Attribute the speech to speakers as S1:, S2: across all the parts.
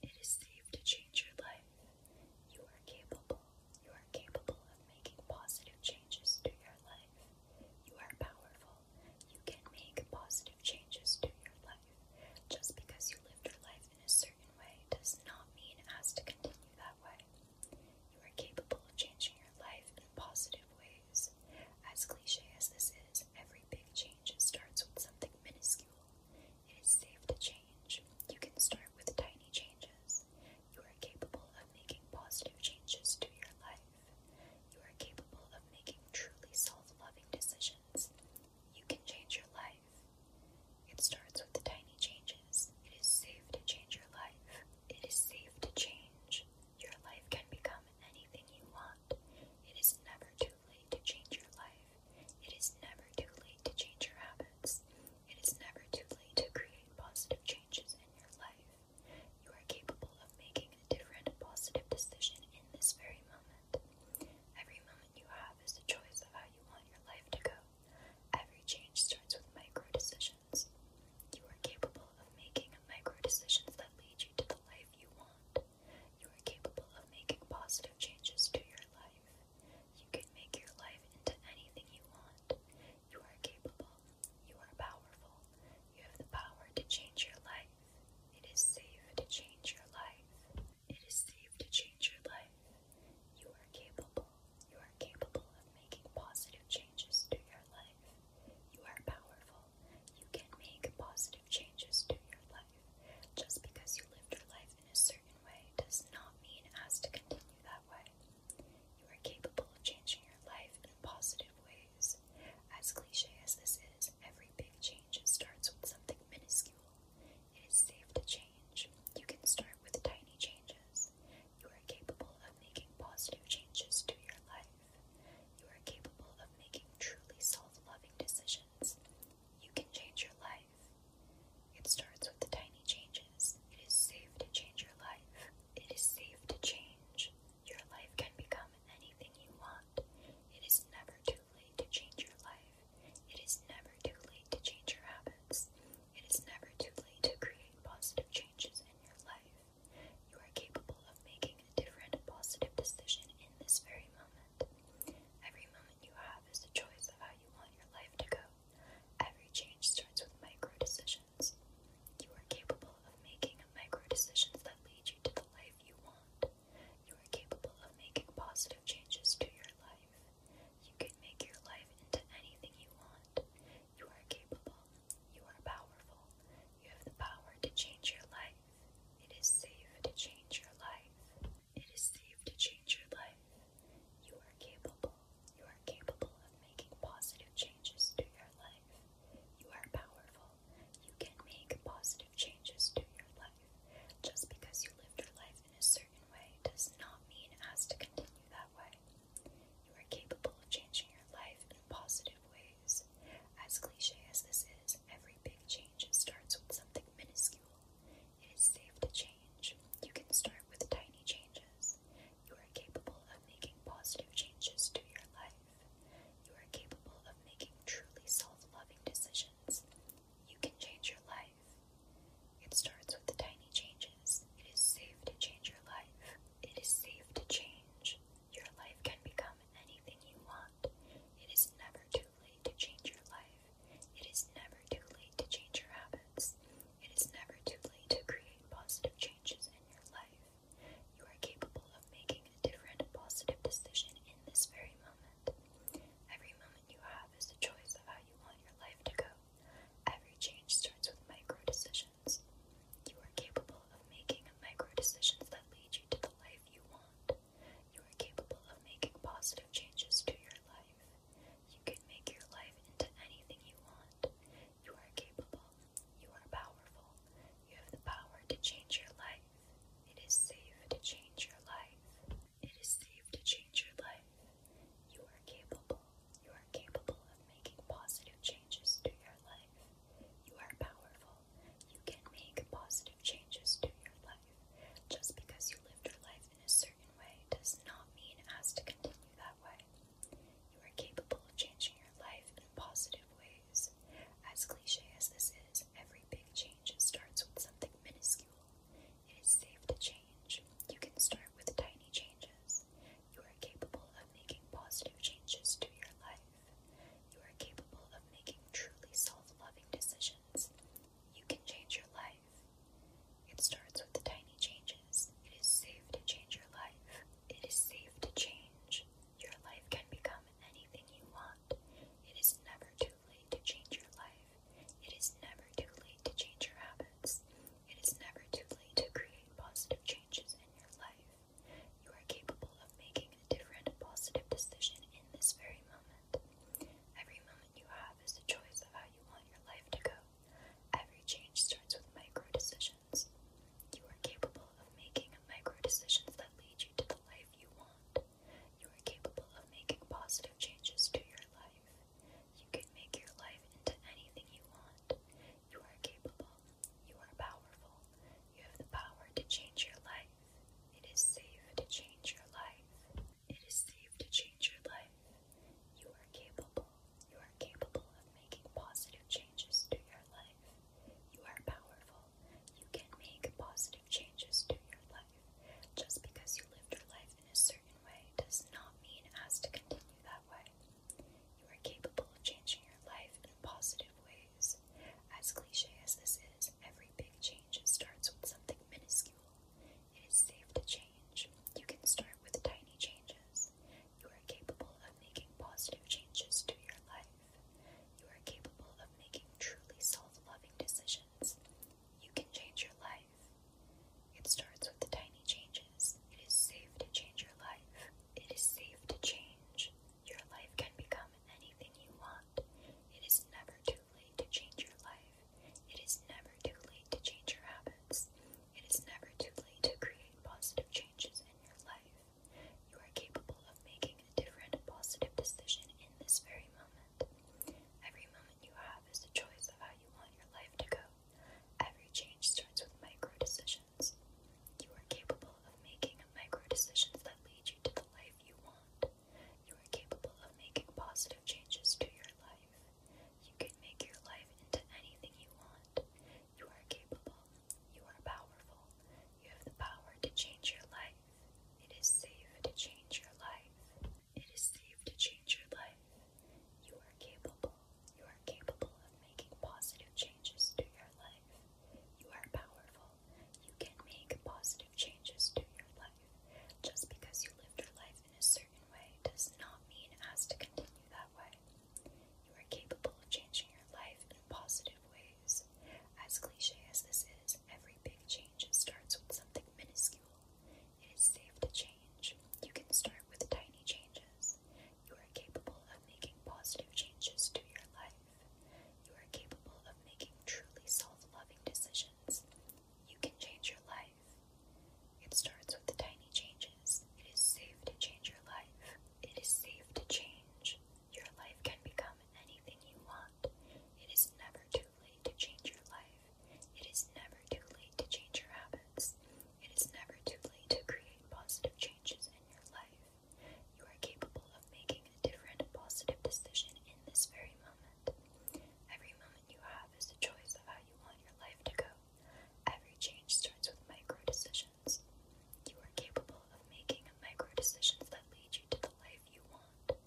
S1: It is safe to change your life. You are capable. You are capable of making positive changes to your life. You are powerful. You can make positive changes to your life. Just because you lived your life in a certain way does not mean it has to continue that way. You are capable of changing your life in positive ways. As cliche as this is, every big change starts with something minuscule. It is safe to change. You can start with tiny changes. You are capable of making positive changes to your life. You are capable of making truly self loving decisions. You can change your life. It starts with the tiny changes. It is safe to change your life. It is safe to change. Your life can become anything you want. It is never too too late to change your life. It is never too late to change your habits. It is never too late to create positive changes in your life. You are capable of making a different positive decision in this very moment. Every moment you have is a choice of how you want your life to go. Every change starts with micro decisions. You are capable of making micro decisions that lead you to the life you want. You are capable of making positive changes to your life. You can make your life into anything you want. You are capable. You are powerful. You have the power to change your life. It is safe to change your life. It is safe to change your life. You are capable. You are capable of making positive changes to your life. You are powerful. You can make positive changes to your life. Just because you live your life in a certain way does not mean it to continue that way. You are capable of changing your life in positive ways. As cliche as this is, every big change starts with something minuscule. It is safe to change. You can start with tiny changes. You are capable of making positive changes to your life. You are capable of making truly self loving decisions. You can change your life. It starts with the tiny changes. It is safe to change your life. It is safe to change. Your life can become anything you want. It is never too late to change your life. It is never too late to change your habits. It is never too late to create positive changes in your life. You are capable of making a different positive decision in this very moment. Every moment you have is a choice of how you want your life to go. Every change starts with micro decisions. You are capable of making micro decisions that lead you to the life you want. You are capable of making positive changes to your life. You can make your life into anything you want. You are capable. You are powerful. You have the power to change your life. It is safe to change your life. It is safe to change your life. You are capable. You are capable of making positive changes to your life. You are powerful. You can make positive changes to your life. Just because you lived your life in a certain way does not mean it has to continue that way. You are capable of changing your life in positive ways. As cliche as this is, every big change starts with something minuscule. It is safe to change. You can start with tiny changes. You are capable of making positive changes to your life. You are capable of making truly self loving decisions. You can change your life. It starts with the tiny changes. It is safe to change your life. It is safe to change. Your life can become anything you want. It is never too too late to change your life. It is never too late to change your habits. It is never too late to create positive changes in your life. You are capable of making a different positive decision in this very moment. Every moment you have is a choice of how you want your life to go. Every change starts with micro decisions. You are capable of making micro decisions that lead you to the life you want. You are capable of making positive changes to your life. You can make your life into anything you want. You are capable. You are powerful. You have the power to change your life. It is safe to change your life. It is safe to change your life. You are capable. You are capable of making positive changes to your life. You are powerful. You can make positive changes to your life. Just because you live your life in a certain way does not mean it has to continue that way. You are capable of changing your life in positive ways. As cliche as this is, every big change starts with something minuscule. It is safe to change. You can start with tiny changes. You are capable of making positive changes to your life. You are capable of making truly self loving decisions. You can change your life. It starts with the tiny changes. It is safe to change your life. It is safe to change. Your life can become anything you want. It is never too late to change your life. It is never too late to change your habits. It is never too late to create positive changes in your life. You are capable of making a different positive decision in this very moment. Every moment you have it is is the choice of how you want your life to go. Every change starts with micro decisions. You are capable of making micro decisions that lead you to the life you want. You are capable of making positive changes to your life. You can make your life into anything you want. You are capable. You are powerful. You have the power to change your life. It is safe to change your life. It is safe to change your life. You are capable. You are capable of making positive changes to your life. You are powerful. You can make positive changes to your life. Just because you lived your life in a certain way does not mean it has to continue that way. You are capable of changing your life in positive ways. As cliche as this is, every big change starts with something minuscule. It is safe to change. You can start with tiny changes. You are capable of making positive changes to your life. You are capable of making truly self loving decisions. You can change your life. It starts with the tiny changes. It is safe to change your life. It is safe to change. Your life can become anything you want. It is never too late to change your life. It is never too late to change your habits. It is never too late to create positive changes in your life. You are capable of making a different positive decision in this very moment. Every moment you have is a choice of how you want your life to go. Every change starts with micro decisions. You are capable of making micro decisions that lead you to the life you want. You are capable of making positive changes to your life. You can make your life into anything you want. You are capable. You are powerful. You have the power to change your life. It is safe to change your life. It is safe to change your life. You are capable. You are capable of making positive changes to your life. You are powerful. You can make positive changes to your life. Just because you lived your life in a certain does not mean it to continue that way. You are capable of changing your life in positive ways. As cliche as this is, every big change starts with something minuscule. It is safe to change. You can start with tiny changes. You are capable of making positive changes to your life. You are capable of making truly self loving decisions. You can change your life. It starts with the tiny changes. It is safe to change your life. It is safe to change. Your life can become anything you want. It is never too late to change your life. It is never too late to change your habits. It is never too late to create positive changes in your life. You are capable of making a different positive decision in this very moment. Every moment you have it is is the choice of how you want your life to go. Every change starts with micro decisions. You are capable of making micro decisions that lead you to the life you want.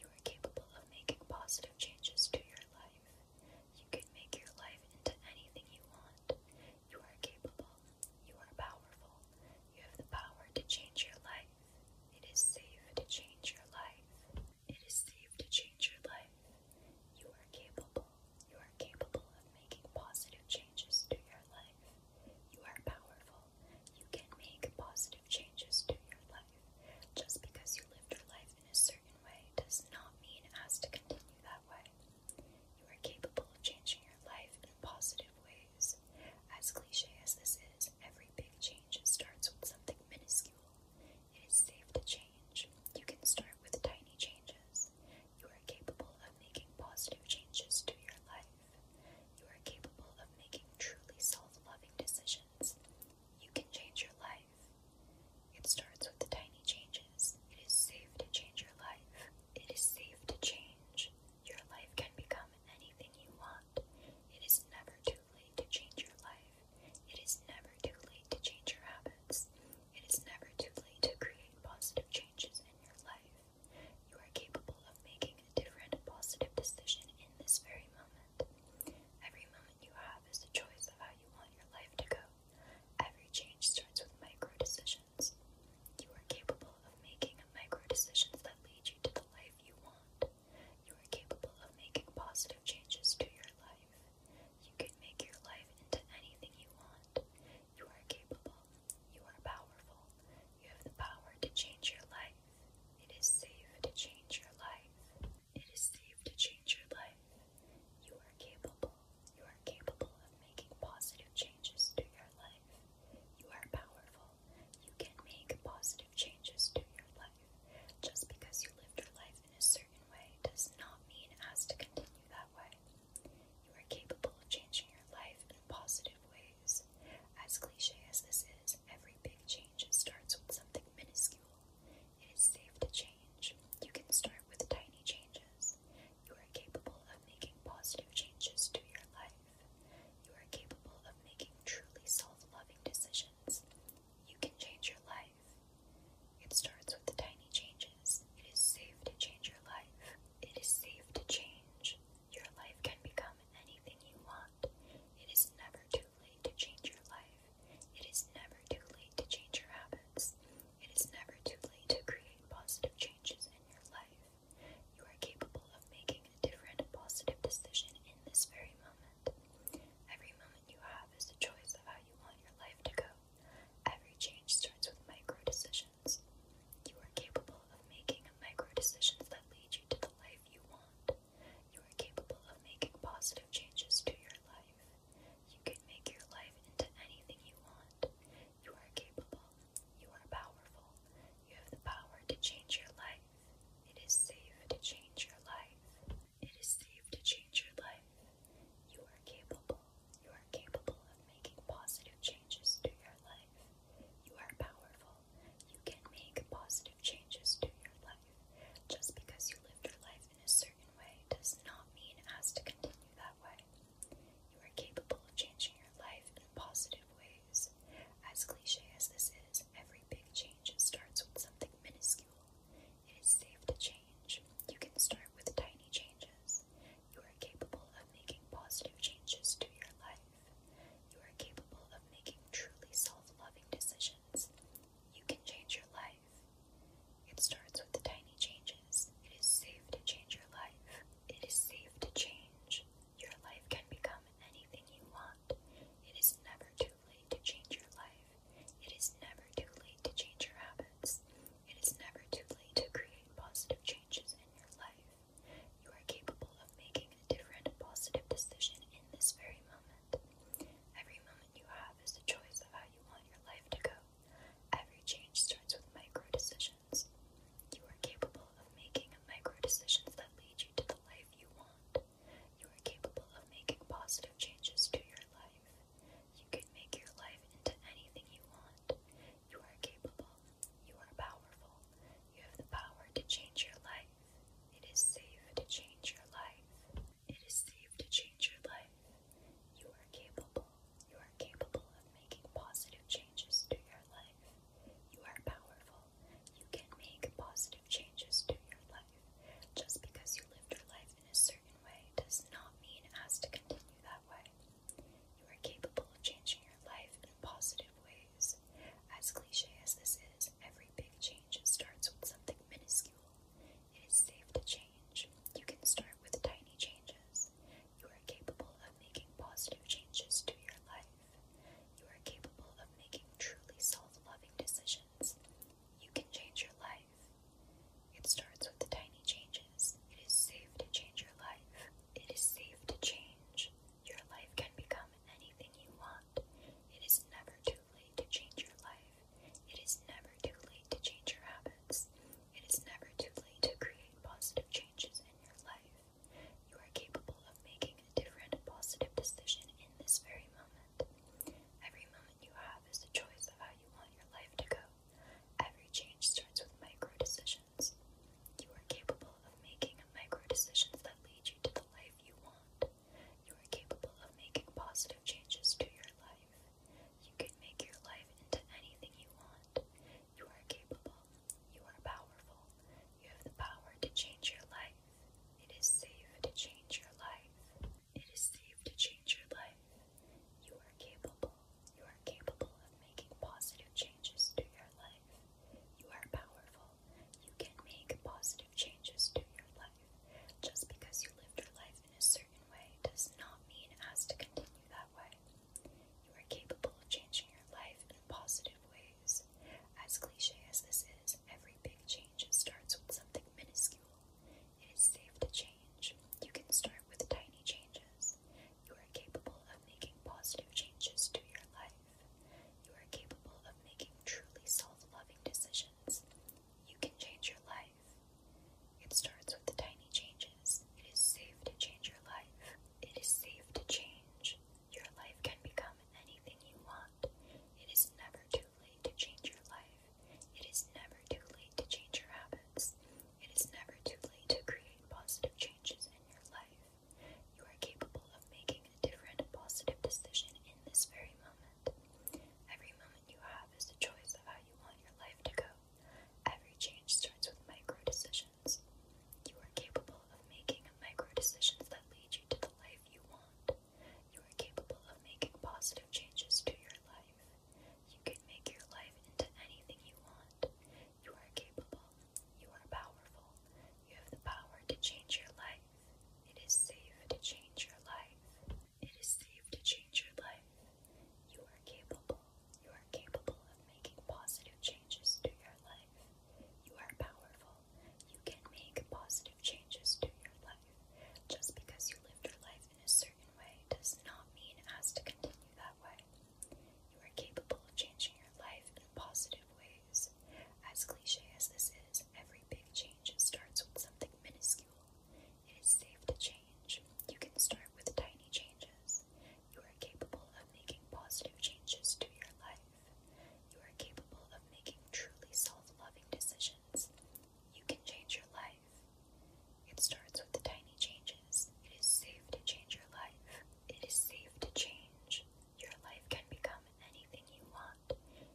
S1: You are capable of making positive changes to your life. You can make your life into anything you want. You are capable. You are powerful. You have the power to change your life. It is safe to change your life. It is safe to change your life. You are capable. You are capable of making positive changes to your life. You are powerful. You can make positive changes to your life. Just because you lived your life in a certain way does not mean as to continue that way. You are capable of changing your life in positive ways. As cliche as this is, every big change starts with something minuscule. It is safe to change. You can start with tiny changes. You are capable of making positive changes to your life. You are capable of making truly self loving decisions. You can change your life. It starts with the tiny changes. It is safe to change your life. It is safe to change. Your life can become anything you want. It is never too too late to change your life. It is never too late to change your habits. It is never too late to create positive changes in your life. You are capable of making a different positive decision in this very moment. Every moment you have is a choice of how you want your life to go. Every change starts with micro decisions. You are capable of making micro decisions that lead you to the life you want. You are capable of making positive changes to your life. You can make your life into anything you want. You are capable. You are powerful. You have the power to change your life. It is safe to change your life. It is safe to change your life. You are capable. You are capable of making positive changes to your life. You are powerful. You can make positive changes to your life. Just because you lived your life in a certain does not mean it to continue that way. You are capable of changing your life in positive ways. As cliche as this is, every big change starts with something minuscule. It is safe to change. You can start with tiny changes. You are capable of making positive changes to your life. You are capable of making truly self loving decisions. You can change your life. It starts with the tiny changes. It is safe to change your life. It is safe to change. Your life can become anything you want. It is never too late to change your life. It is never too late to change your habits. It is never too late to create positive changes in your life. You are capable of making a different positive decision in this very moment. Every moment you have is the choice of how you want your life to go. Every change starts with micro decisions. You are capable of making micro decisions that lead you to the life you want. You are capable of making positive changes to your life. You can make your life into anything you want. You are capable. You are powerful. You have the power to change your life. It is safe to change your life. It is safe to change your life. You are capable. You are capable of making positive changes to your life. You are powerful. You can make positive changes to your life. Just because you lived your life in a certain way does not mean as to continue that way. You are capable of changing your life in positive ways. As cliche as this is, every big change starts with something minuscule. It is safe to change. You can start with tiny changes. You are capable of making positive changes to your life. You are capable of making truly self loving decisions. You can change your life. It starts with the tiny changes. It is safe to change your life. It is safe to change. Your life can become anything you want. It is never too too late to change your life. It is never too late to change your habits. It is never too late to create positive changes in your life. You are capable of making a different positive decision in this very moment. Every moment you have is a choice of how you want your life to go. Every change starts with micro decisions. You are capable of making micro decisions that lead you to the life you want. You are capable of making positive changes to your life. You can make your life into anything you want. You are capable. You are powerful. You have the power to change your life. It is safe to change your life. It is safe to change your life. You are capable. You are capable of making positive changes to your life. You are powerful. You can make positive changes to your life. Just because you lived your life in a certain does not mean it to continue that way. You are capable of changing your life in positive ways. As cliche as this is, every big change starts with something minuscule. It is safe to change. You can start with tiny changes. You are capable of making positive changes to your life. You are capable of making truly self loving decisions. You can change your life. It starts with the tiny changes. It is safe to change your life. It is safe to change. Your life can become anything you want. It is never too late to change your life. It is never too late to change your habits. It is never too late to create positive changes in your life. You are capable of making a different positive decision in this very moment. Every moment you have is the choice of how you want your life to go. Every change starts with micro decisions. You are capable of making micro decisions that lead you to the life you want. You are capable of making positive changes to your life. You can make your life into anything you want. You are capable. You are powerful. You have the power to change your life. It is safe to change your life. It is safe to change your life. You are capable. You are capable of making positive changes to your life. You are powerful. You can make positive changes to your life. Just because you lived your life in a certain way does not mean it has to continue that way. You are capable of changing your life in positive ways. As cliche as this is, every big change starts with something minuscule. It is safe to change. You can start with tiny changes. You are capable of making positive changes to your life. You are capable of making truly self loving decisions. You can change your life. It starts with the tiny changes. It is safe to change your life. It is safe to change. Your life can become anything you want. It is never too too late to change your life. It is never too late to change your habits. It is never too late to create positive changes in your life. You are capable of making a different positive decision in this very moment. Every moment you have is a choice of how you want your life to go. Every change starts with micro decisions. You are capable of making micro decisions that lead you to the life you want. You are capable of making positive changes to your life. You can make your life into anything you want. You are capable. You are powerful. You have the power to change your life. It is safe to change your life. It is safe to change your life. You are capable. You are capable of making positive changes to your life. You are powerful. You can make positive changes to your life. Just because you lived your life in a certain certain way does not mean it has to continue that way. You are capable of changing your life in positive ways. As cliche as this is, every big change starts with something minuscule. It is safe to change. You can start with tiny changes. You are capable of making positive changes to your life. You are capable of making truly self loving decisions. You can change your life. It starts with the tiny changes. It is safe to change your life. It is safe to change. Your life can become anything you want.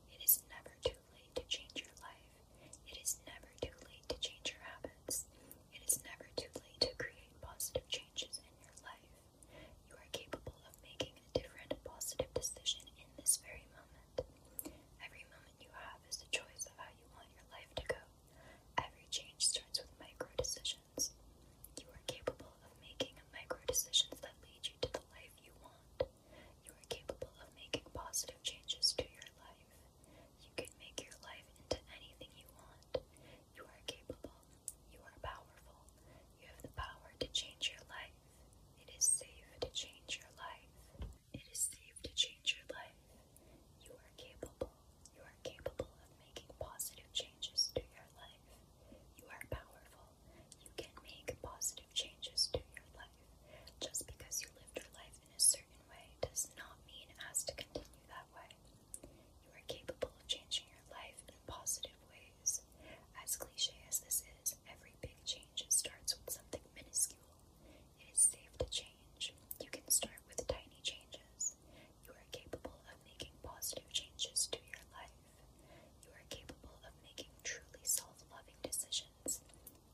S1: It is never too late to change your life. It is never too late to change your habits. It is never too late to create positive changes in your life. You are capable of making a different positive decision in this very moment. Every moment you have is the choice of how you want your life to go. Every change starts with micro decisions. You are capable of making micro decisions that lead you to the life you want. You are capable of making positive changes to your life. You can make your life into anything you want. You are capable. You are powerful. You have the power to change your life. It is safe to change your life. It is safe to change your life. You are capable. You are capable of making positive changes to your life. You are powerful. You can make positive changes to your life. Just because you lived your life in a certain way does not mean it has to continue that way. You are capable of changing your life in positive ways. As cliche as this is, every big change starts with something minuscule. It is safe to change. You can start with tiny changes. You are capable of making positive changes to your life. You are capable of making truly self loving decisions.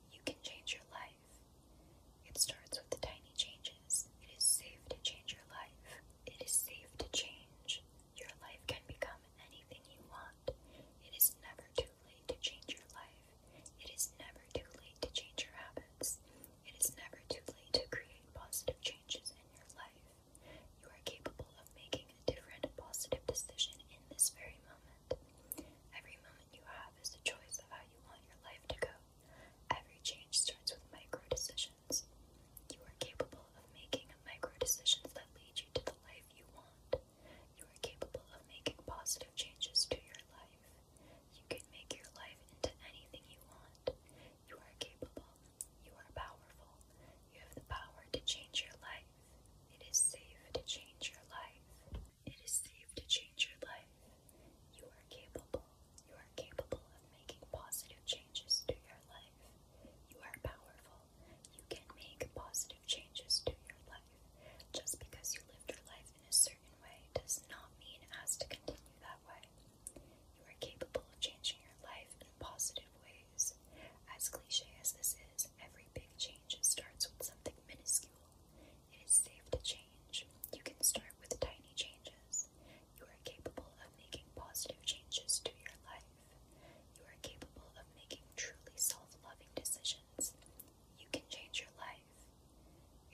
S1: You can change your life. It starts with the tiny changes. It is safe to change your life. It is safe to change. Your life can become anything you want. It is never too too late to change your life. It is never too late to change your habits. It is never too late to create positive changes in your life. You are capable of making a different positive decision in this very moment. Every moment you have is a choice of how you want your life to go. Every change starts with micro decisions. You are capable of making micro decisions that lead you to the life you want. You are capable of making positive changes to your life. You can make your life into anything you want. You are capable. You are powerful. You have the power to change your life. It is safe to change your life. It is safe to change your life. You are capable. You are capable of making positive changes to your life. You are powerful. You can make positive changes to your life. Just because you lived your life in a certain certain way does not mean it has to continue that way. You are capable of changing your life in positive ways. As cliche as this is, every big change starts with something minuscule. It is safe to change. You can start with tiny changes. You are capable of making positive changes to your life. You are capable of making truly self loving decisions you can change your life.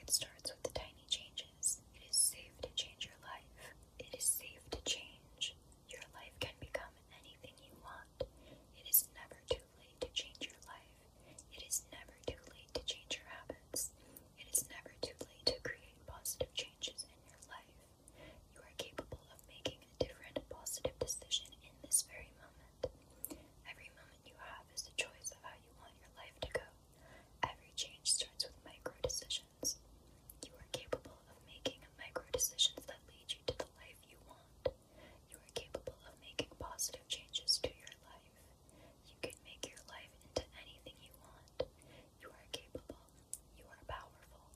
S1: It starts with the tiny changes. It is safe to change your life. It is safe to change. Your life can become anything you want. It is never too late to change your life. It is never too late to change your habits. It is never too late to create positive changes in your life. You are capable of making a different positive decision in this very moment. Every moment you have is the choice of how you want your life to go. Every change starts with micro decisions. You are capable of making micro decisions that lead you to the life you want. You are capable of making positive changes to your life. You can make your life into anything you want. You are capable. You are powerful.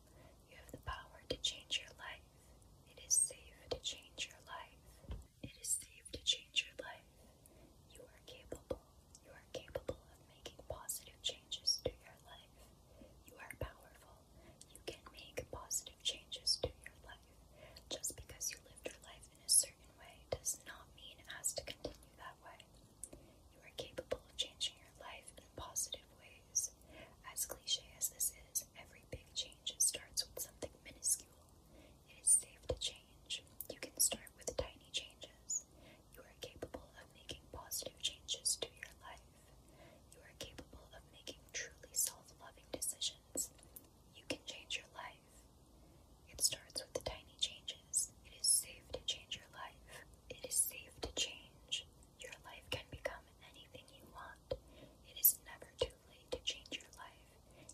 S1: You have the power to change your life. It is safe to change your life. It is safe to change your life. You are capable. You are capable of making positive changes to your life. You are powerful. You can make positive changes to your life. Just because you lived your life in a certain way does not mean it has to continue that way. You are capable of changing your life in positive ways. As cliche as this is, every big change starts with something minuscule it is safe to change. You can start with tiny changes. You are capable of making positive changes to your life. You are capable of making truly self loving decisions. You can change your life. It starts with tiny changes. It is safe to change your life. It is safe to change. Your life can become anything you want. It is never too too late to change your life.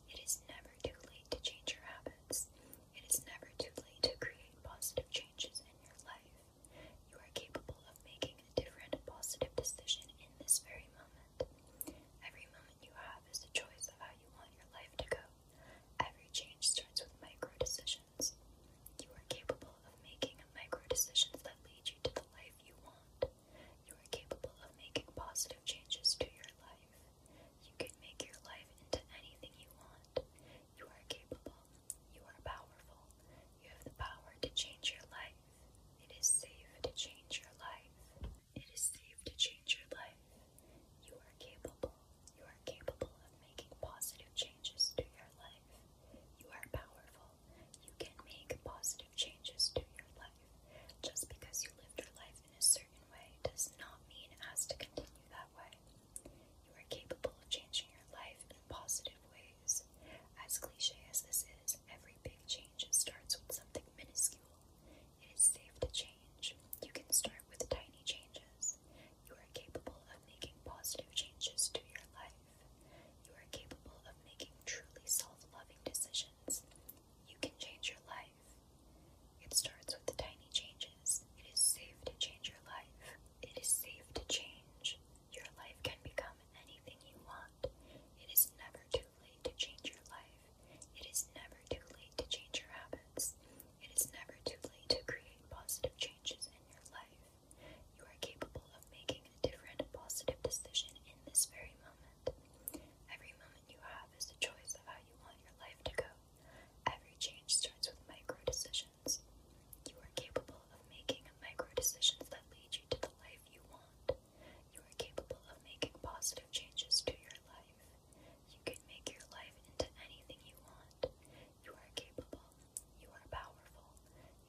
S1: It is never too late to change your habits. It is never too late to create positive changes in your life. You are capable of making a different positive decision in this very moment. Every moment you have is a choice of how you want your life to go. Every change starts with micro decisions. You are capable of making micro decisions that lead you to the life you want. You are capable of making positive changes to your life. You can make your life into anything you want. You are capable. You are powerful. You have the power to change your life. It is safe to change your life. It is safe to change your life. You are capable. You are capable of making positive changes to your life. You are powerful. You can make positive changes to your life. Just because you lived your life in a certain does not mean as to continue that way. You are capable of changing your life in positive ways. As cliche as this is, every big change starts with something minuscule. It is safe to change. You can start with tiny changes. You are capable of making positive changes to your life. You are capable of making truly self loving decisions. You can change your life. It starts with the tiny changes. It is safe to change your life. It is safe to change. Your life can become anything you want. It is never too late to change your life. It is never too late to change your habits. It is never too late to create positive changes in your life. You are capable of making a different positive decision in this very moment. Every moment you have is the choice of how you want your life to go. Every change starts with micro decisions. You are capable of making micro decisions that lead you to the life you want. You are capable of making positive changes to your life. You can make your life into anything you want. You are capable. You are powerful.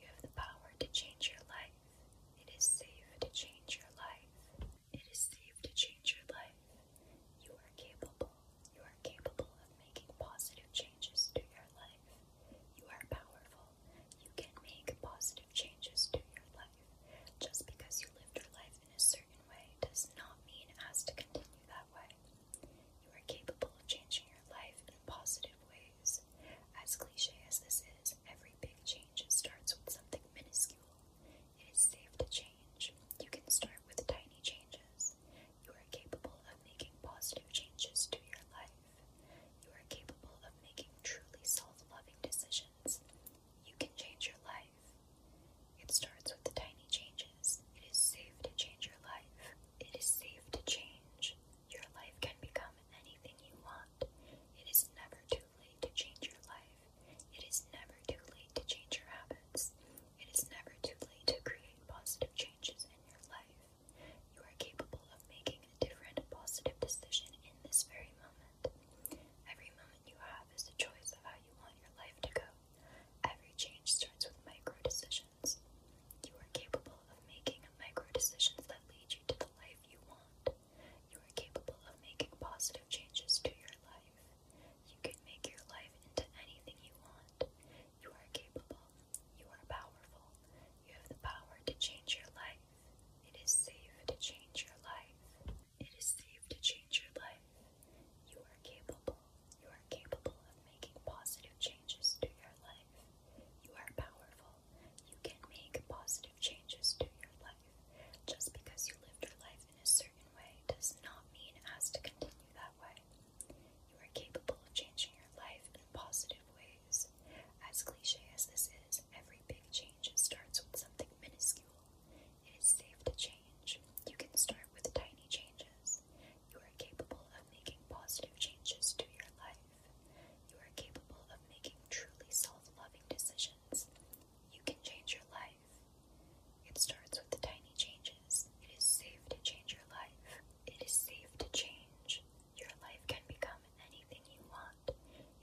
S1: You have the power to change your life. It is safe to change your life. It is safe to change your life. You are capable. You are capable of making positive changes to your life. You are powerful. You can make positive changes to your life. Just because you lived your life in a certain way does not mean it has to continue that way. You are capable of changing your life in positive ways. As cliche as this is, every big change starts with something minuscule. It is safe to change. You can start with tiny changes. You are capable of making positive changes to your life. You are capable of making truly self loving decisions. You can change your life. It starts with the tiny changes. It is safe to change your life. It is safe to change. Your life can become anything you want. It is never too late to change your life. It is never too late to change your habits. It is never too late to create positive changes in your life. You are capable of making a different positive decision in this very moment. Every moment you have is a choice of how you want your life to go. Every change starts with micro decisions. You are capable of making micro decisions that lead you to the life you want. You are capable of making positive changes to your life. You can make your life into anything you want. You are capable. You are powerful. You have the power to change your life. It is safe to change your life. It is safe to change your life. You are capable. You are capable of making positive changes to your life. You are powerful. You can make positive changes to your life. Just because you lived your life in a certain way does not mean it has to continue that way. You are capable of changing your life in positive ways. As cliche as this is, every big change starts with something minuscule. It is safe to change. You can start with tiny changes. You are capable of making positive changes to your life. You are capable of making truly self loving decisions. You can change your life. It starts with the tiny changes. It is safe to change your life. It is safe to change. Your life can become anything you want.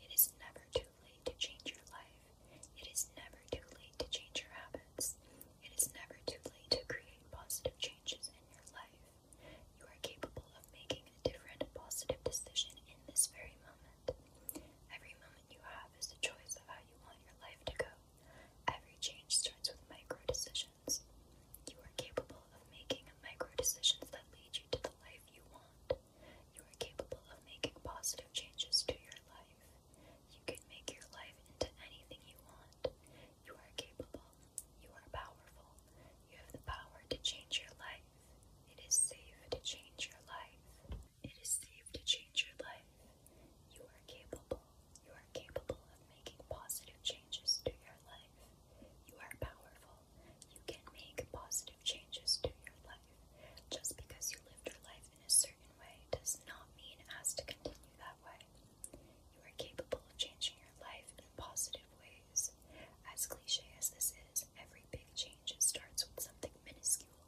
S1: It is never too late to change your life. It is never too late to change your habits. It is never too late to create positive changes in your life. You are capable of making a different positive decision in this very moment. Every moment you have is the choice of how you want your life to go. Every change starts with micro decisions. You are capable of making micro decisions that lead you to the life you want. You are capable of making positive changes to your life. You can make your life into anything you want. You are capable. You are powerful. You have the power to change your life. It is safe to change your life. It is safe to change your life. You are capable. You are capable of making positive changes to your life. You are powerful. You can make positive changes to your life. Just because you lived your life in a certain way does not mean it has to continue that way. You are capable of changing your life in positive ways. As cliche as this is, every big change starts with something minuscule.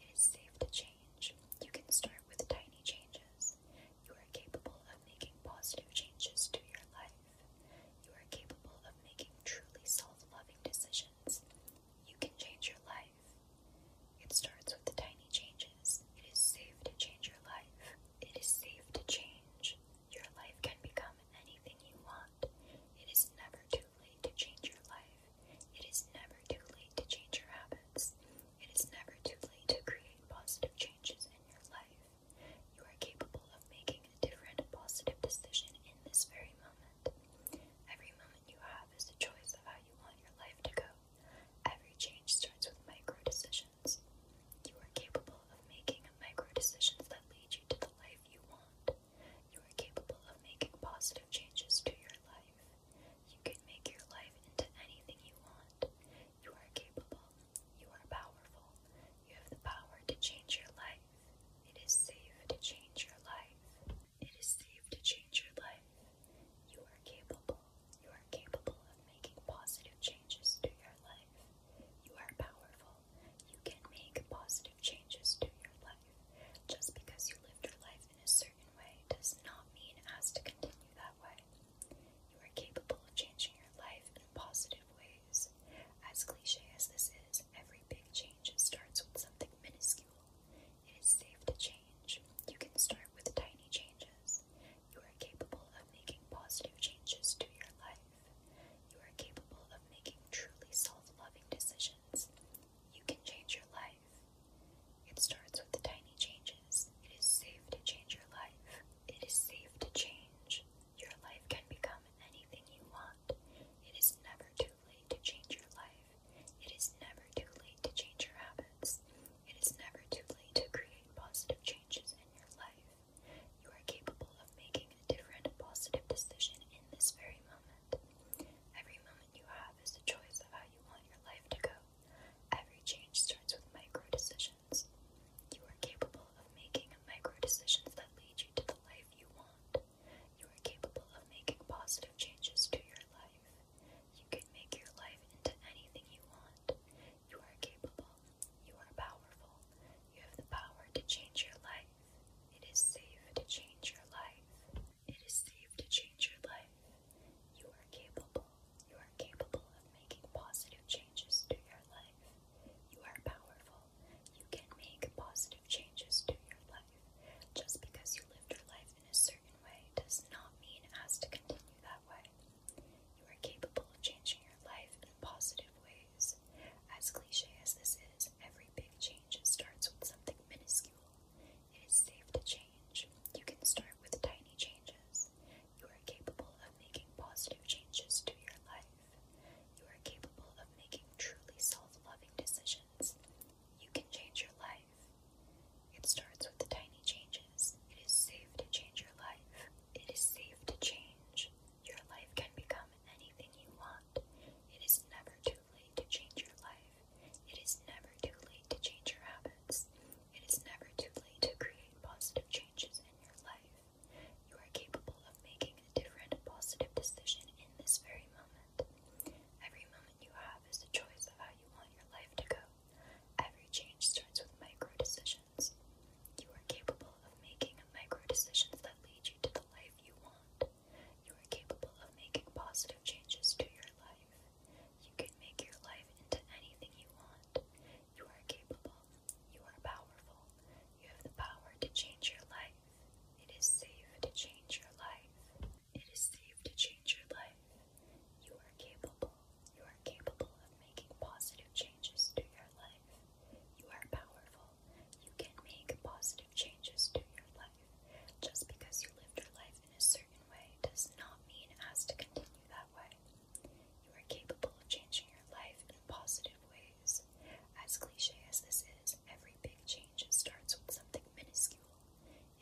S1: It is safe to change. You can start with tiny changes. You are capable of making positive changes to your life. You are capable of making truly self loving decisions. You can change your life. It starts with the tiny changes. It is safe to change your life. It is safe to change. Your life can become anything you want. It is never too late to change your life. It is never too late to change your habits. It is never too late to create positive changes in your life. You are capable of making a different positive decision in this very moment. Every moment you have is a choice of how you want your life to go. Every change starts with micro decisions. You are capable of making micro decisions that lead you to the life you want. You are capable of making positive changes to your life. You can make your life into anything you want. You are capable. You are powerful. You have the power to change your life. It is safe to change your life. It is safe to change your life. You are capable. You are capable of making positive changes to your life. You are powerful. You can make positive changes to your life. Just because you lived your life in a certain way does not mean it has to continue that way. You are capable of changing your life in positive ways. As cliche as this is, every big change starts with something minuscule. It is safe to change. You can start with tiny changes. You are capable of making positive changes to your life. You are capable of making truly self loving decisions. You can change your life. It starts with the tiny changes. It is safe to change your life. It is safe to change. Your life can become anything you want. It is never too late to change your life. It is never too late to change your habits. It is never too late to create positive changes in your life. You are capable of making a different positive decision in this very moment. Every moment you have is the choice of how you want your life to go. Every change starts with micro decisions. You are capable of making micro decisions that lead you to the life you want. You are capable of making positive changes to your life. You can make your life into anything you want. You are capable. You are powerful. You have the power to change your life. It is safe to change your life. It is safe to change your life. You are capable. You are capable of making positive changes to your life. You are powerful. You can make positive changes to your life. Just because you lived your life in a certain way does not mean it has to continue that way. You are capable of changing your life in positive ways. As cliche as this is, every big change starts with something minuscule it is safe to change. You can start with tiny changes. You are capable of making positive changes to your life. You are capable of making truly self loving decisions. You can change your life. It starts with the tiny changes. It is safe to change your life. It is safe to change. Your life can become anything you want. It is never too late to change your life. It is never too late to change your habits. It is never too late to create positive changes in your life. You are capable of making a different positive decision in this very moment. Every moment you have is a choice of how you want your life to go. Every change starts with micro decisions. You are capable of making micro decisions that lead you to the life you want. You are capable of making positive changes to your life. You can make your life into anything you want. You are capable. You are powerful. You have the power to change your life. It is safe to change your life. It is safe to change your life. You are capable. You are capable of making positive changes to your life. You are powerful. You can make positive changes to your life. Just because you lived your life in a certain way does not mean it has to continue that way. You are capable of changing your life in positive ways. As cliche as this is, every big change starts with something minuscule.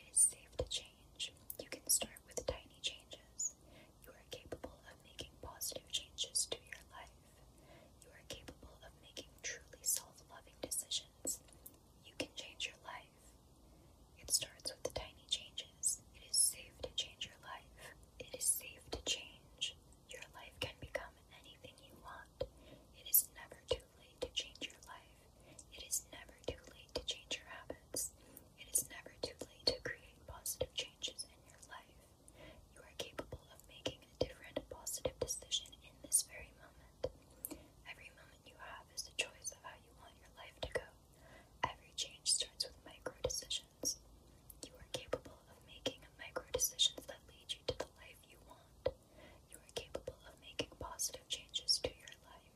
S1: It is safe to change. You can start with tiny changes. You are capable of making positive changes to your life. You are capable of making truly self loving decisions. You can change your life. It starts with the tiny changes. It is safe to change your life. It is safe to change. Your life can become anything you want. It is never too late to change your life. It is never too late to change your habits. It is never too late to create positive changes in your life. You are capable of making a different positive decision in this very moment moment. Every moment you have is a choice of how you want your life to go. Every change starts with micro decisions. You are capable of making micro decisions that lead you to the life you want. You are capable of making positive changes to your life.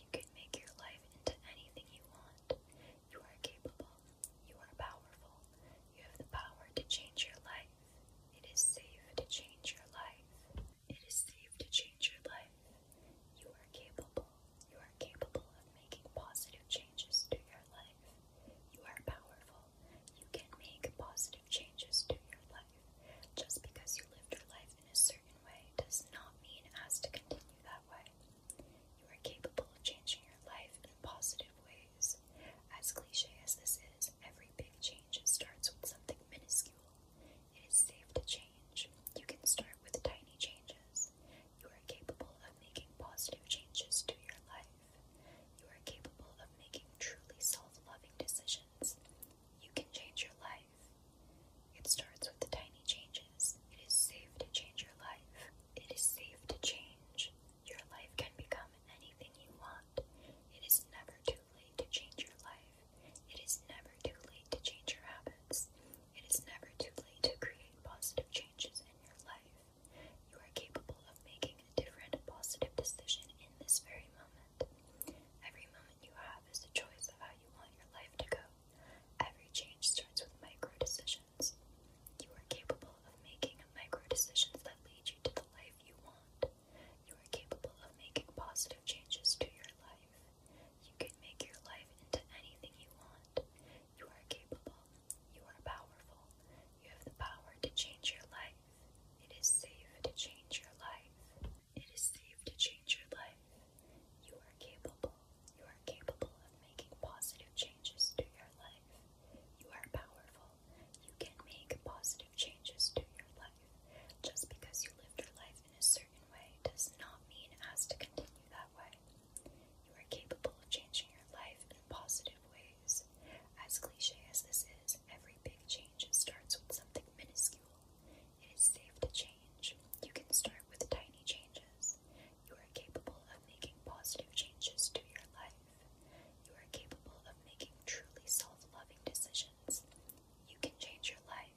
S1: You can make your life into anything you want. You are capable. You are powerful. You have the power to change your life. It is safe to change your life. It is safe to change your life. You are capable. You are capable of making positive changes to your life. You are powerful. You can make positive changes to your life. Just because you lived your life in a certain way does not mean it has to continue that way. You are capable of changing your life in positive ways. As cliche as this is, every big change it starts with something minuscule. It is safe to change. You can start with tiny changes. You are capable of making positive changes to your life. You are capable of making truly self loving decisions. You can change your life. It starts with the tiny changes. It is safe to change your life. It is safe to change. Your life can become anything you want. It is never too late to change your life. It is never too late to change your habits. It is never too late to create positive changes in your life. You are capable of making a different positive decision in this very moment. Every moment you have is a choice of how you want your life to go. Every change starts with micro decisions. You are capable of making micro decisions that lead you to the life you want. You are capable of making positive changes to your life. You can make your life into anything you want. You are capable. You are powerful. You have the power to change your life. It is safe to change your life. It is safe to change your life. You are capable. You are capable of making positive changes to your life. You are powerful. You can make positive changes to your life life. Just because you lived your life in a certain way does not mean it has to continue that way. You are capable of changing your life in positive ways. As cliche as this is, every big change starts with something minuscule. It is safe to change. You can start with tiny changes. You are capable of making positive changes to your life. You are capable of making truly self loving decisions. You can change your life.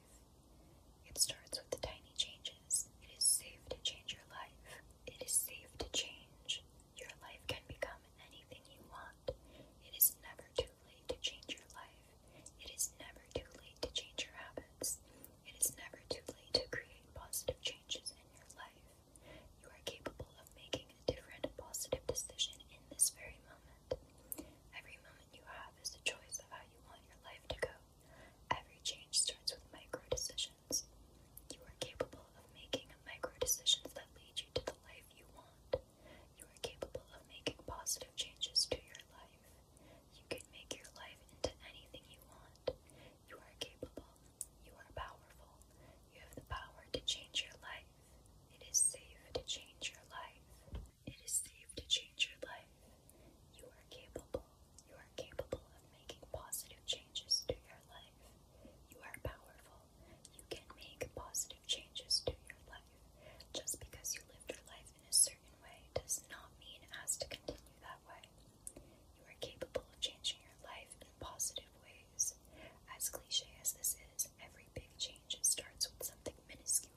S1: It starts with the tiny changes. It is safe to change your life. It is safe to change. Your life can become anything you want. It is never too late to change your life. It is never too late to change your habits. It is never too late to create positive changes in your life. You are capable of making a different positive decision in this very moment. Every moment you have is a choice of how you want your life to go. Every change starts with micro decisions. You are capable of making micro decisions that lead you to the life you want. You are capable of making positive changes to your life. You can make your life into anything you want. You are capable. You are powerful. You have the power to change your life. It is safe to change your life. It is safe to change your life. You are capable. You are capable of making positive changes to your life. You are powerful. You can make positive changes to your life. Just because you lived your life in a certain way does not mean as to continue that way. You are capable of changing your life in positive ways. As cliche as this is, every big change it starts with something minuscule.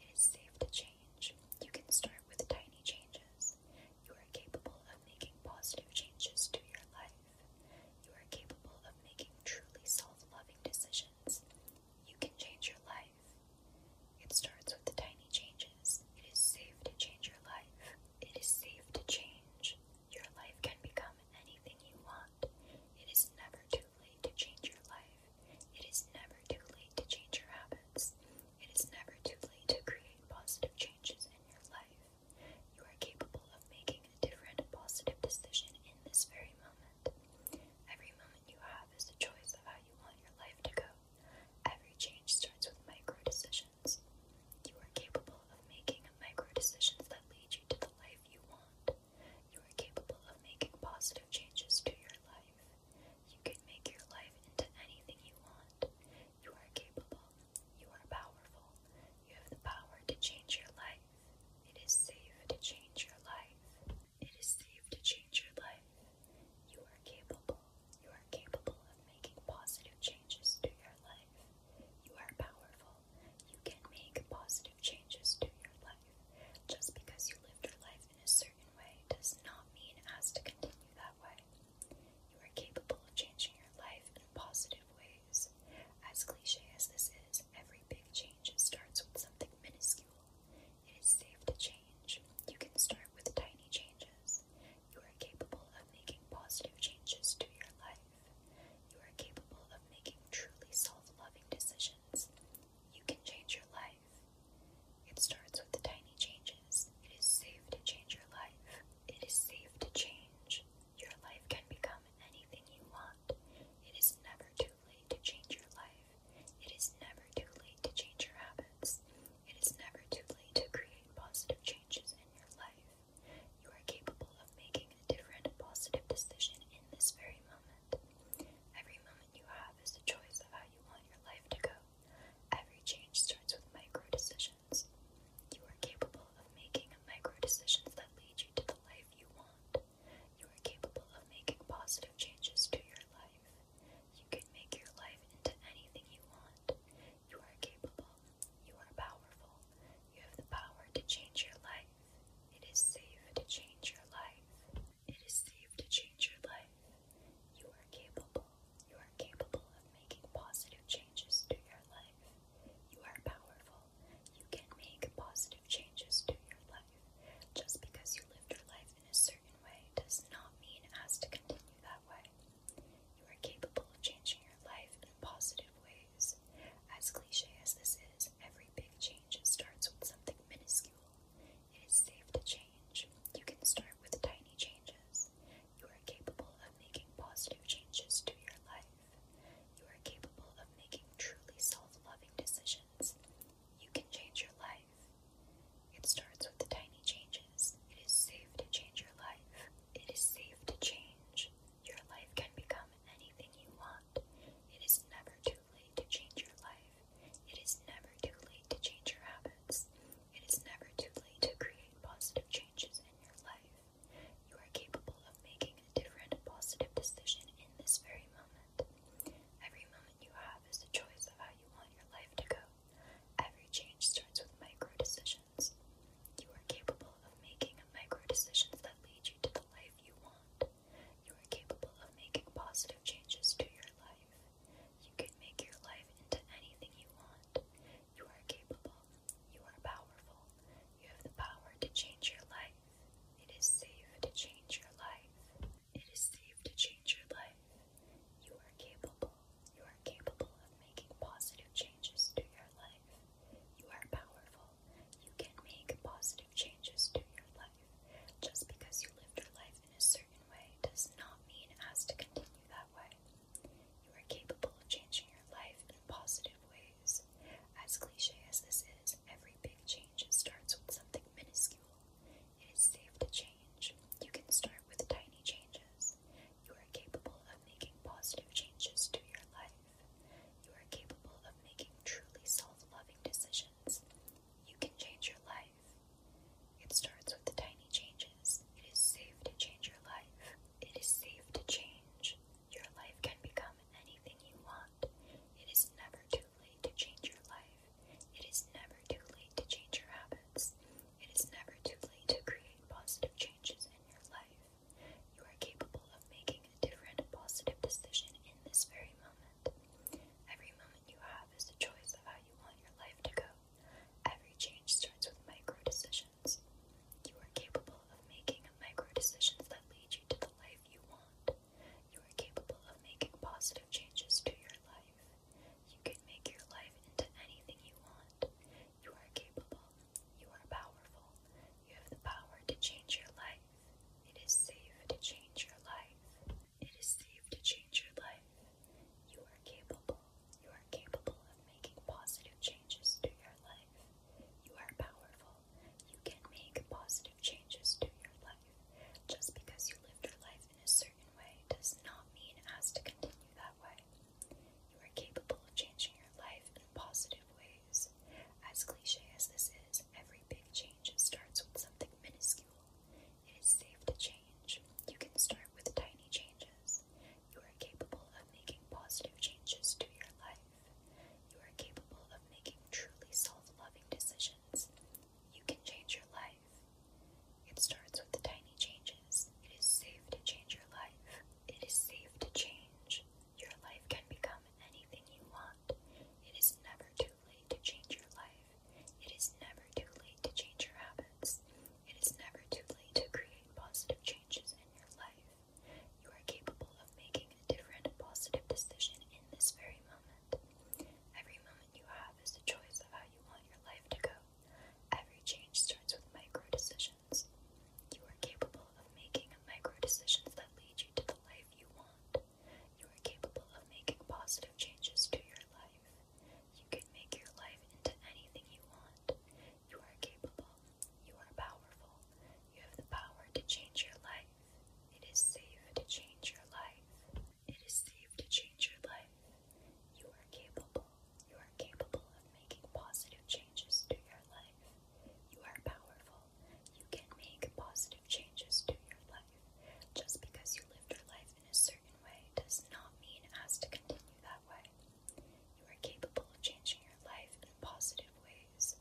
S1: It is safe to change. You can start with tiny changes. You are capable of making positive changes to your life. You are capable of making truly self loving decisions. You can change your life. It starts with the tiny changes. It is safe to change your life. It is safe to change. Your life can become anything you want. It is never too late to change your life. It is never too late to change your habits. It is never too late to create positive changes in your life. You are capable of making a different positive decision in this very moment. Every moment you have is a choice of how you want your life to go. Every change starts with micro decisions. You are capable of making micro decisions that lead you to the life you want. You are capable of making positive changes to your life. You can make your life into anything you want. You are capable. You are powerful. You have the power to change your life. It is safe to change your life. It is safe to change your life. You are capable. You are capable of making positive changes to your life. You are powerful. You can make positive changes to your life. Just because you lived your life in a certain way does not mean it has to continue that way. You are capable of changing your life in positive ways. As cliche as this is, every big change starts with something minuscule. It is safe to change. You can start with tiny changes. You are capable of making positive changes to your life. You are capable of making truly self loving decisions. You can change your life. It starts with the tiny changes. It is safe to change your life. It is safe to change. Your life can become anything you want. It is never too late to change your life. It is never too late to change your habits. It is never too late to create positive changes in your life. You are capable of making a different positive decision in this very moment moment. Every moment you have is a choice of how you want your life to go. Every change starts with micro decisions. You are capable of making micro decisions that lead you to the life you want. You are capable of making positive changes to your life. You can make your life into anything you want. You are capable. You are powerful. You have the power to change your life. It is safe to change your life. It is safe to change your life. You are capable. You are capable of making positive changes to your life. You are powerful. You can make positive changes to your life. Just because you lived your life in a certain way does not mean it has to continue that way. You are capable of changing your life in positive ways. As cliche as this is, every big change starts with something minuscule. It is safe to change. You can start with tiny changes. You are capable of making positive changes to your life. You are capable of making truly self loving decisions. You can change your life. It starts with the tiny changes. It is safe to change your life. It is safe to change. Your life can become anything you want. It is never too late to change your life. It is never too late to change your habits. It is never too late to create positive changes in your life. You are capable of making a different positive decision in this very moment. Every moment you have is a choice of how you want your life to go. Every change starts with micro decisions. You are capable of making micro decisions that lead you to the life you want. You are capable of making positive changes to your life. You can make your life into anything you want. You are capable. You are powerful. You have the power to change your life. It is safe to change your life. It is safe to change your life. You are capable. You are capable of making positive changes to your life. You are powerful. You can make positive changes to your life. Just because you lived your life in a certain way does not mean it has to continue that way. You are capable of changing your life in positive ways. As cliche as this is, every big change starts with something minuscule. It is safe to change. You can start with tiny changes. You are capable of making positive changes to your life. You are capable of making truly self loving decisions. You can change your life. It starts with the tiny changes. It is safe to change your life. It is safe to change. Your life can become anything you want. It is never too late to change your life. It is never too late to change your habits. It is never too late to create positive changes in your life. You are capable of making a different positive decision in this very moment moment. Every moment you have is a choice of how you want your life to go. Every change starts with micro decisions. You are capable of making micro decisions that lead you to the life you want. You are capable of making positive changes to your life. You can make your life into anything you want. You are capable. You are powerful. You have the power to change your life. It is safe to change your life. It is safe to change your life. You are capable. You are capable of making positive changes to your life. You are powerful. You can make positive changes to your life. Just because you lived your life in a certain way does not mean it has to continue that way. You are capable of changing your life in positive ways. As cliche as this is, every big change starts with something minuscule. It is safe to change. You can start with tiny changes. You are capable of making positive changes to your life. You are capable of making truly self loving decisions. You can change your life. It starts with the tiny changes. It is safe to change your life. It is safe to change. Your life can become anything you want. It is never too late to change your life life. It is never too late to change your habits. It is never too late to create positive changes in your life. You are capable of making a different positive decision in this very moment. Every moment you have is a choice of how you want your life to go. Every change starts with micro decisions. You are capable of making micro decisions that lead you to the life you want. You are capable of making positive changes to your life. You can make your life into anything you want. You are capable. You are powerful. You have the power to change your life. It is safe to change your life. It is safe to change your life. You are capable. You are capable of making positive changes to your life. You are powerful. You can make positive changes to your life. Just because you lived your life in a certain way does not mean it has to continue that way. You are capable of changing your life in positive ways.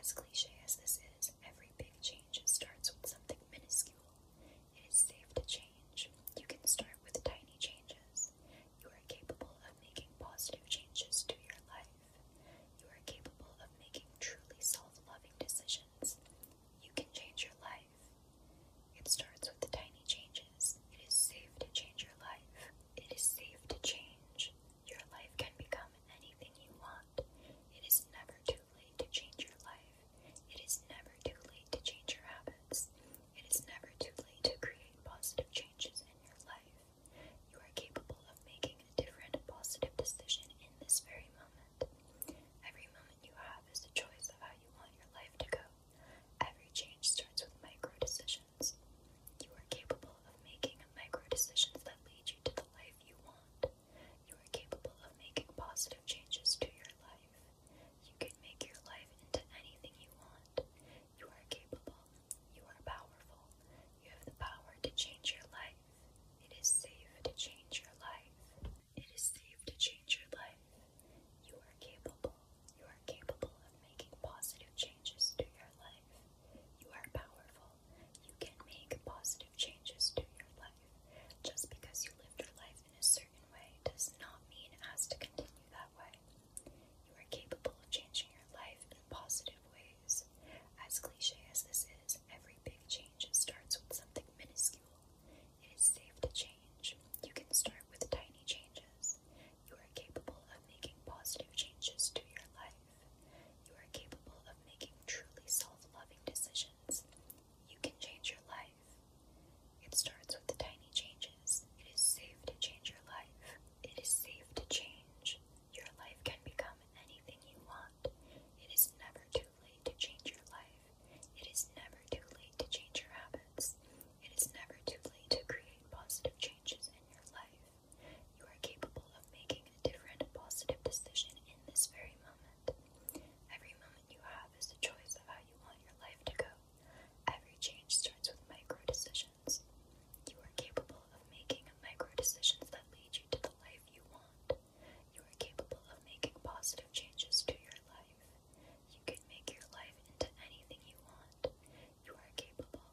S1: As cliche as this is, every big change starts with something minuscule. It is safe to change. You can start with tiny changes. You are capable of making positive changes to your life. You are capable of making truly self loving decisions. You can change your life. It starts with the tiny changes. It is safe to change your life. It is safe to change. Your life can become anything you want. It is never too late to change your life. It is never too late to change your habits. It is never too late to create positive changes in your life. You are capable of making a different positive decision in this very moment. Every moment you have is a choice of how you want your life to go. Every change starts with micro decisions. You are capable of making micro decisions that lead you to the life you want. You are capable of making positive changes to your life. You can make your life into anything you want. You are capable. You are powerful. You have the power to change your life. It is safe to change your life. It is safe to change your life. You are capable. You are capable of making positive changes to your life. You are powerful. You can make positive changes to your life. Just because you lived your life in a certain way does not mean it has to continue that way. You are capable of changing your life in positive ways. As cliche as this is, every big change starts with something minuscule. It is safe to change. You can start with tiny changes. You are capable of making positive changes to your life. You are capable of making truly self loving decisions. You can change your life. It starts with the tiny changes. It is safe to change your life. It is safe to change. Your life can become anything you want. It is never too too late to change your life. It is never too late to change your habits. It is never too late to create positive changes in your life. You are capable of making a different positive decision in this very moment. Every moment you have is a choice of how you want your life to go. Every change starts with micro decisions. You are capable of making micro decisions that lead you to the life you want. You are capable of making positive changes to your life. You can make your life into anything you want. You are capable.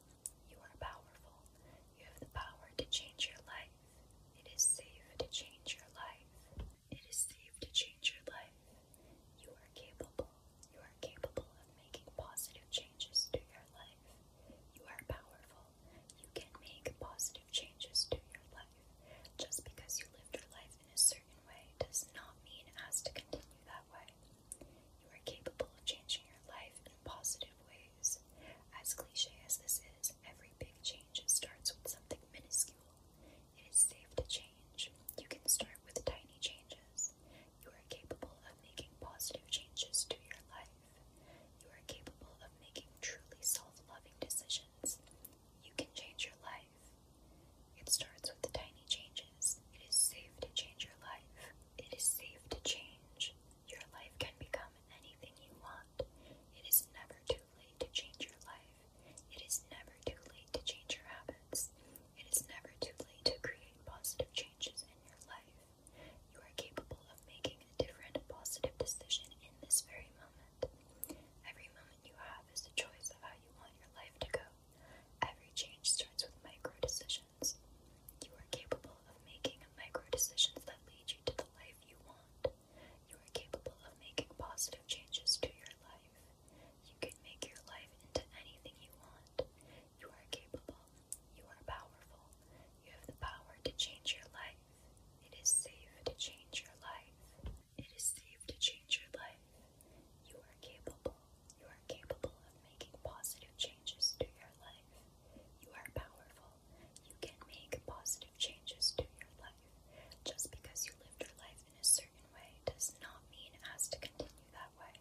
S1: You are powerful. You have the power to change your life. It is safe to change your life. It is safe to change your life. You are capable. You are capable of making positive changes to your life. You are powerful. You can make positive changes to your life. Just because you lived your life in a certain way does not mean it has to continue that way. You are capable of changing your life in positive ways. As cliche as this is, every big change starts with something minuscule. It is safe to change. You can start with tiny changes. You are capable of making positive changes to your life. You are capable of making truly self loving decisions. You can change your life. It starts with the tiny changes. It is safe to change your life. It is safe to change. Your life can become anything you want. It is never too late to change your life. It is never too late to change your habits. It is never too late to create positive changes in your life. You are capable of making a different positive decision in this very moment. Every moment you have is a choice of how you want your life to go. Every change starts with micro decisions. You are capable of making micro decisions that lead you to the life you want. You are capable of making positive changes to your life. You can make your life into anything you want. You are capable. You are powerful. You have the power to change your life. It is safe to change your life. It is safe to change your life. You are capable. You are capable of making positive changes to your life. You are powerful. You can make positive changes to your life. Just because you lived your life in a certain way does not mean it has to continue that way.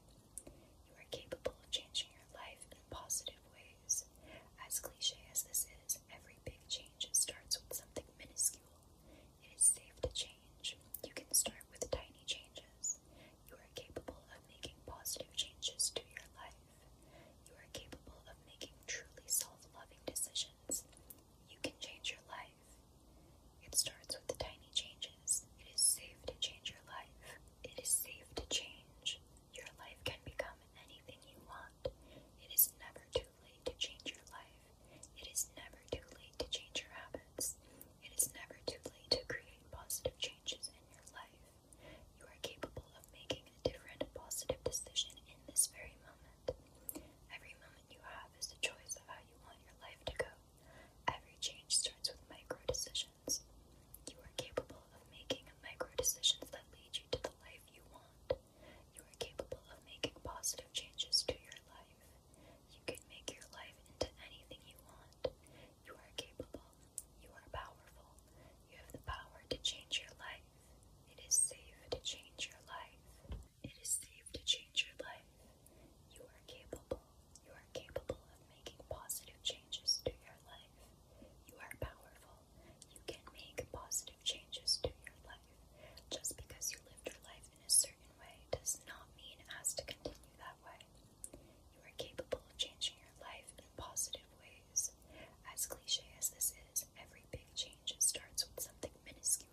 S1: You are capable of changing your life in positive ways. As cliche as this is, every big change starts with something minuscule. It is safe to change. You can start with tiny changes. You are capable of making positive changes to your life. You are capable of making truly self loving decisions. You can change your life. It starts with the tiny changes. It is safe to change your life. It is safe to change. Your life can become anything you want. It is never too too late to change your life. It is never too late to change your habits. It is never too late to create positive changes in your life. You are capable of making a different positive decision in this very moment. Every moment you have is a choice of how you want your life to go. Every change starts with micro decisions. You are capable of making micro decisions that lead you to the life you want. You are capable of making positive changes to your life. You can make your life into anything you want. You are capable. You are powerful. You have the power to change your life. It is safe to change your life. It is safe to change your life. You are capable. You are capable of making positive changes to your life. You are powerful. You can make positive changes to your life. Just because you lived your life in a certain way does not mean as to continue that way. You are capable of changing your life in positive ways. As cliche as this is, every big change starts with something minuscule.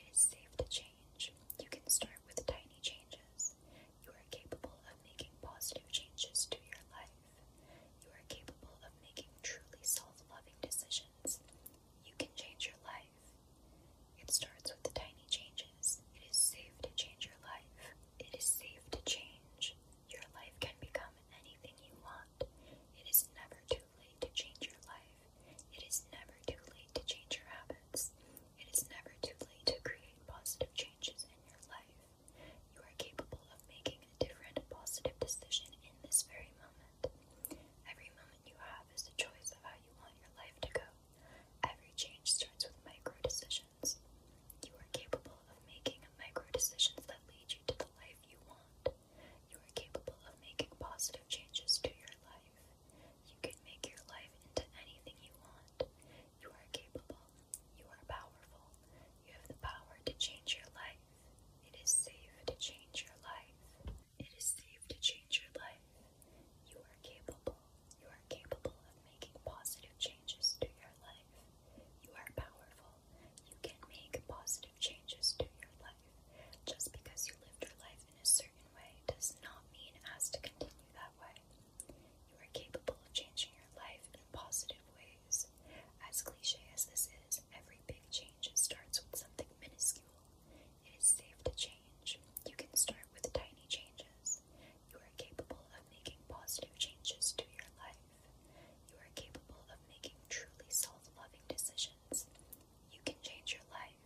S1: It is safe to change. You can start with tiny changes. You are capable of making positive changes to your life. You are capable of making truly self loving decisions. You can change your life. It starts with the tiny changes. It is safe to change your life. It is safe to change. Your life can become anything you want. It is never too late to change your life. It is never too late to change your habits. It is never too late to create positive changes in your life. You are capable of making a different positive decision in this very moment. Every moment you have is a choice of how you want your life to go. Every change starts with micro decisions. You are capable of making micro decisions that lead you to the life you want. You are capable of making positive changes to your life. You can make your life into anything you want. You are capable. You are powerful. You have the power to change your life. It is safe to change your life. It is safe to change your life. You are capable. You are capable of making positive changes to your life. You are powerful. You can make positive changes to your life. Just because you lived your life in a certain way does not mean it has to continue that way. You are capable of changing your life in positive ways. As cliche as this is, every big change starts with something minuscule. It is safe to change. You can start with tiny changes. You are capable of making positive changes to your life. You are capable of making truly self loving decisions. You can change your life.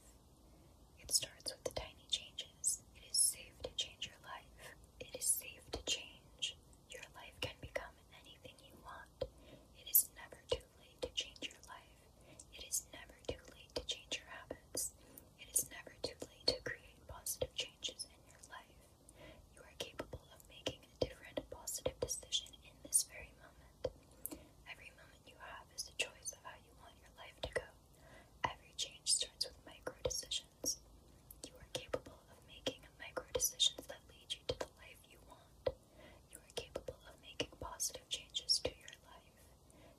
S1: It starts with the tiny changes. It is safe to change your life. It is safe to change. Your life can become anything you want. It is never too too late to change your life. It is never too late to change your habits. It is never too late to create positive changes in your life. You are capable of making a different positive decision in this very moment. Every moment you have is a choice of how you want your life to go. Every change starts with micro decisions. You are capable of making micro decisions that lead you to the life you want. You are capable of making positive changes to your life.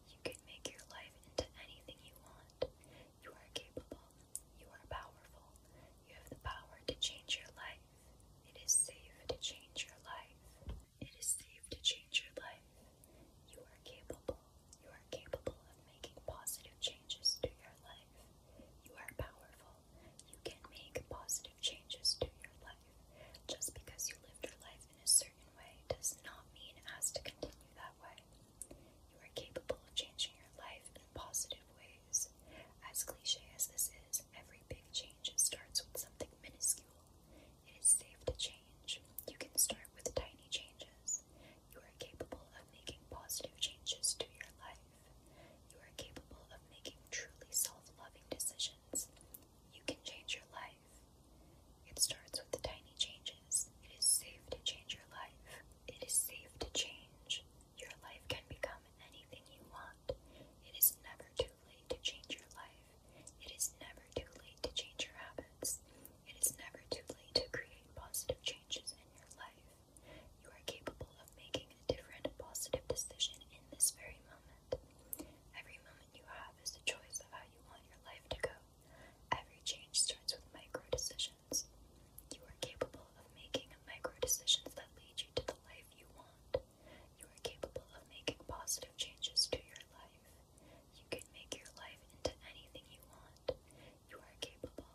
S1: You can make your life into anything you want. You are capable. You are powerful. You have the power to change your life. It is safe to change your life. It is safe to change your life. You are capable. You are capable of making positive changes to your life. You are powerful. You can make positive changes to your life. Just because you lived your life in a certain way does not mean it to continue that way. You are capable of changing your life in positive ways. As cliche as this is, every big change starts with something minuscule. It is safe to change. You can start with tiny changes. You are capable of making positive changes to your life. You are capable of making truly self loving decisions. You can change your life. It starts with the tiny changes. It is safe to change your life. It is safe to change. Your life can become anything you want. It is never too late to change your life. It is never too late to change your habits. It is never too late to create positive changes in your life. You are capable of making a different positive decision in this very moment moment. Every moment you have is a choice of how you want your life to go. Every change starts with micro decisions. You are capable of making micro decisions that lead you to the life you want. You are capable of making positive changes to your life. You can make your life into anything you want. You are capable.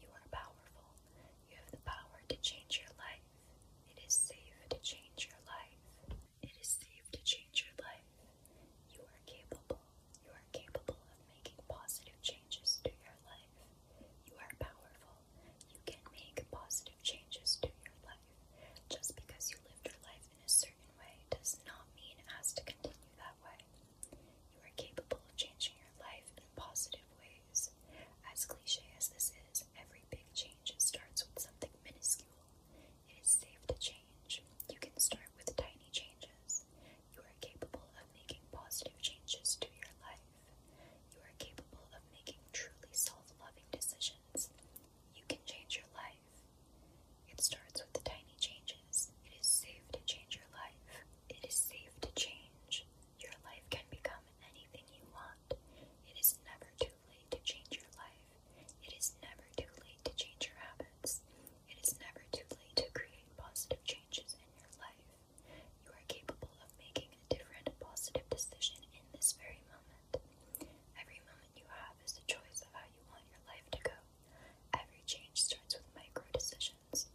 S1: You are powerful. You have the power to change your life. It is safe to change your life. It is safe to change your life. You are capable. You are capable of making positive changes to your life. You are powerful. You can make positive changes to your life. Just because you lived your life in a certain way does not mean it has to continue that way. You are capable of changing your life in positive ways. As cliche as this is, every big change starts with something minuscule. It is safe to change. You can start with tiny changes. You are capable of making positive changes to your life. You are capable of making truly self loving decisions. You can change your life. It starts with the tiny changes. It is safe to change your life. It is safe to change. Your life can become anything you want. It is never too too late to change your life. It is never too late to change your habits. It is never too late to create positive changes in your life. You are capable of making a different positive decision in this very moment. Every moment you have is a choice of how you want your life to go. Every change starts with micro decisions.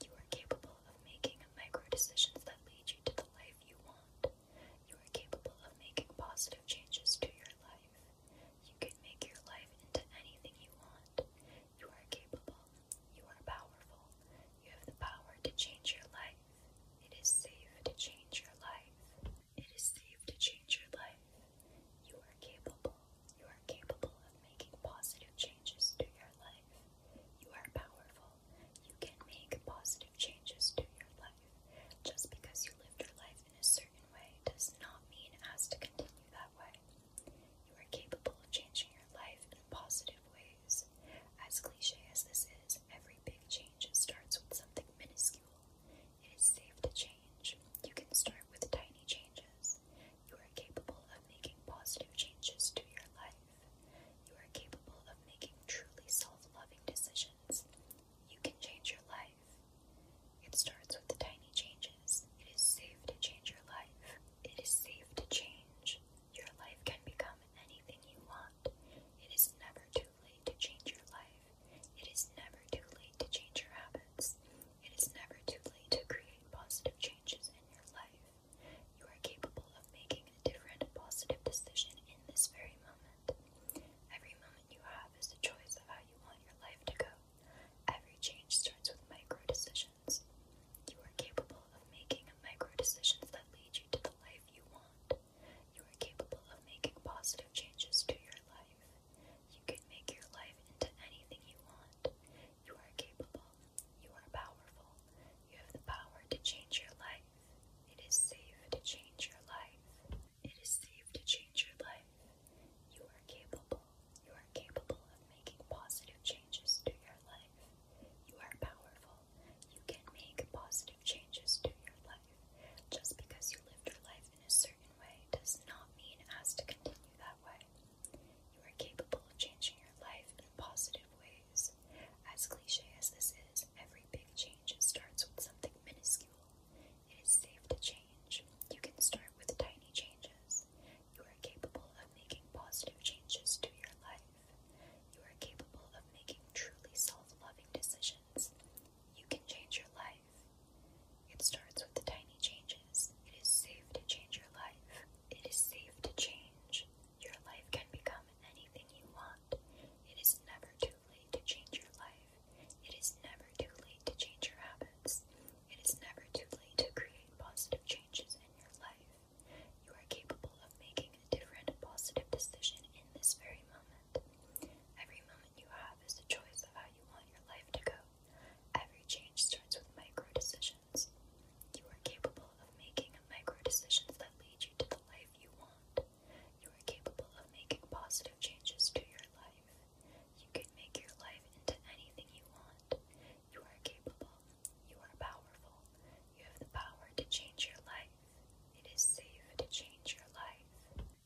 S1: You are capable of making micro decisions that lead you to the life you want. You are capable of making positive changes to your life. You can make your life into anything you want. You are capable. You are powerful. You have the power to change your life. It is safe to change your life. It is safe to change your life. You are capable. You are capable of making positive changes to your life. You are powerful. You can make positive changes to your life. Just because you lived your life in a certain way does not mean as to continue that way. You are capable of changing your life in positive ways. As cliche as this is, every big change starts with something minuscule. It is safe to change. You can start with tiny changes. You are capable of making positive changes to your life. You are capable of making truly self loving decisions. You can change your life. It starts with the tiny changes. It is safe to change your life. It is safe to change. Your life can become anything you want. It is never too late to change your life. It is never too late to change your habits. It is never too late to create positive changes in your life. You are capable of making a different positive decision in this very moment. Every moment you have have is the choice of how you want your life to go. Every change starts with micro decisions. You are capable of making micro decisions that lead you to the life you want. You are capable of making positive changes to your life. You can make your life into anything you want. You are capable. You are powerful. You have the power to change your life. It is safe to change your life. It is safe to change your life. You are capable. You are capable of making positive changes to your life. You are powerful. You can make positive changes to your life. Just because you lived your life in a certain way does not mean it has to continue that way. You are capable of changing your life in positive ways. As cliche as this is, every big change starts with something minuscule. It is safe to change. You can start with tiny changes. You are capable of making positive changes to your life. You are capable of making truly self loving decisions. You can change your life. It starts with the tiny changes. It is safe to change your life. It is safe to change. Your life can become anything you want. It is never too too late to change your life. It is never too late to change your habits. It is never too late to create positive changes in your life. You are capable of making a different positive decision in this very moment. Every moment you have is a choice of how you want your life to go. Every change starts with micro decisions. You are capable of making micro decisions that lead you to the life you want. You are capable of making positive changes to your life. You can make your life into anything you want. You are capable. You are powerful. You have the power to change your life. It is safe to change your life.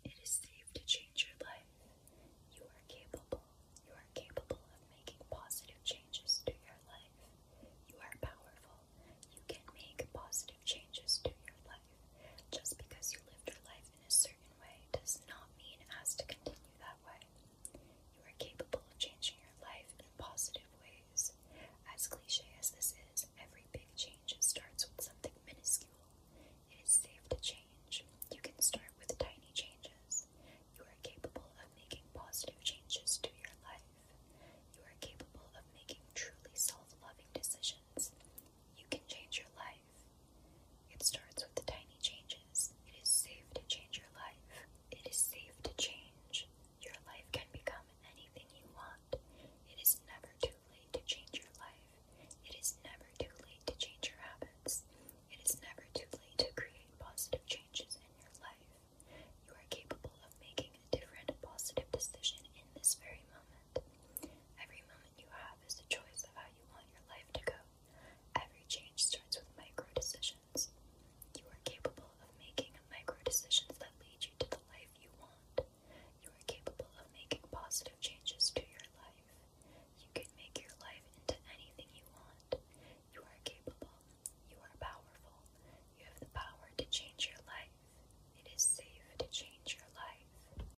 S1: It is safe to change your life. You are capable. You are capable of making positive changes to your life. You are powerful. You can make positive changes to your life. Just because you live your life in a certain way does not mean as to continue that way. You are capable of changing your life in positive ways. As cliche as this is, every big change starts with something minuscule. It is safe to change. You can start with tiny changes. You are capable of making positive changes to your life. You are capable of making truly self loving decisions. You can change your life. It starts with the tiny changes. It is safe to change your life. It is safe to change. Your life can become anything you want. It is never too late to change your life. It is never too late to change your habits. It is never too late to create positive changes in your life. You are capable of making a different positive decision in this very moment. Every moment you have it is is the choice of how you want your life to go. Every change starts with micro decisions. You are capable of making micro decisions that lead you to the life you want. You are capable of making positive changes to your life. You can make your life into anything you want. You are capable. You are powerful. You have the power to change your life. It is safe to change your life.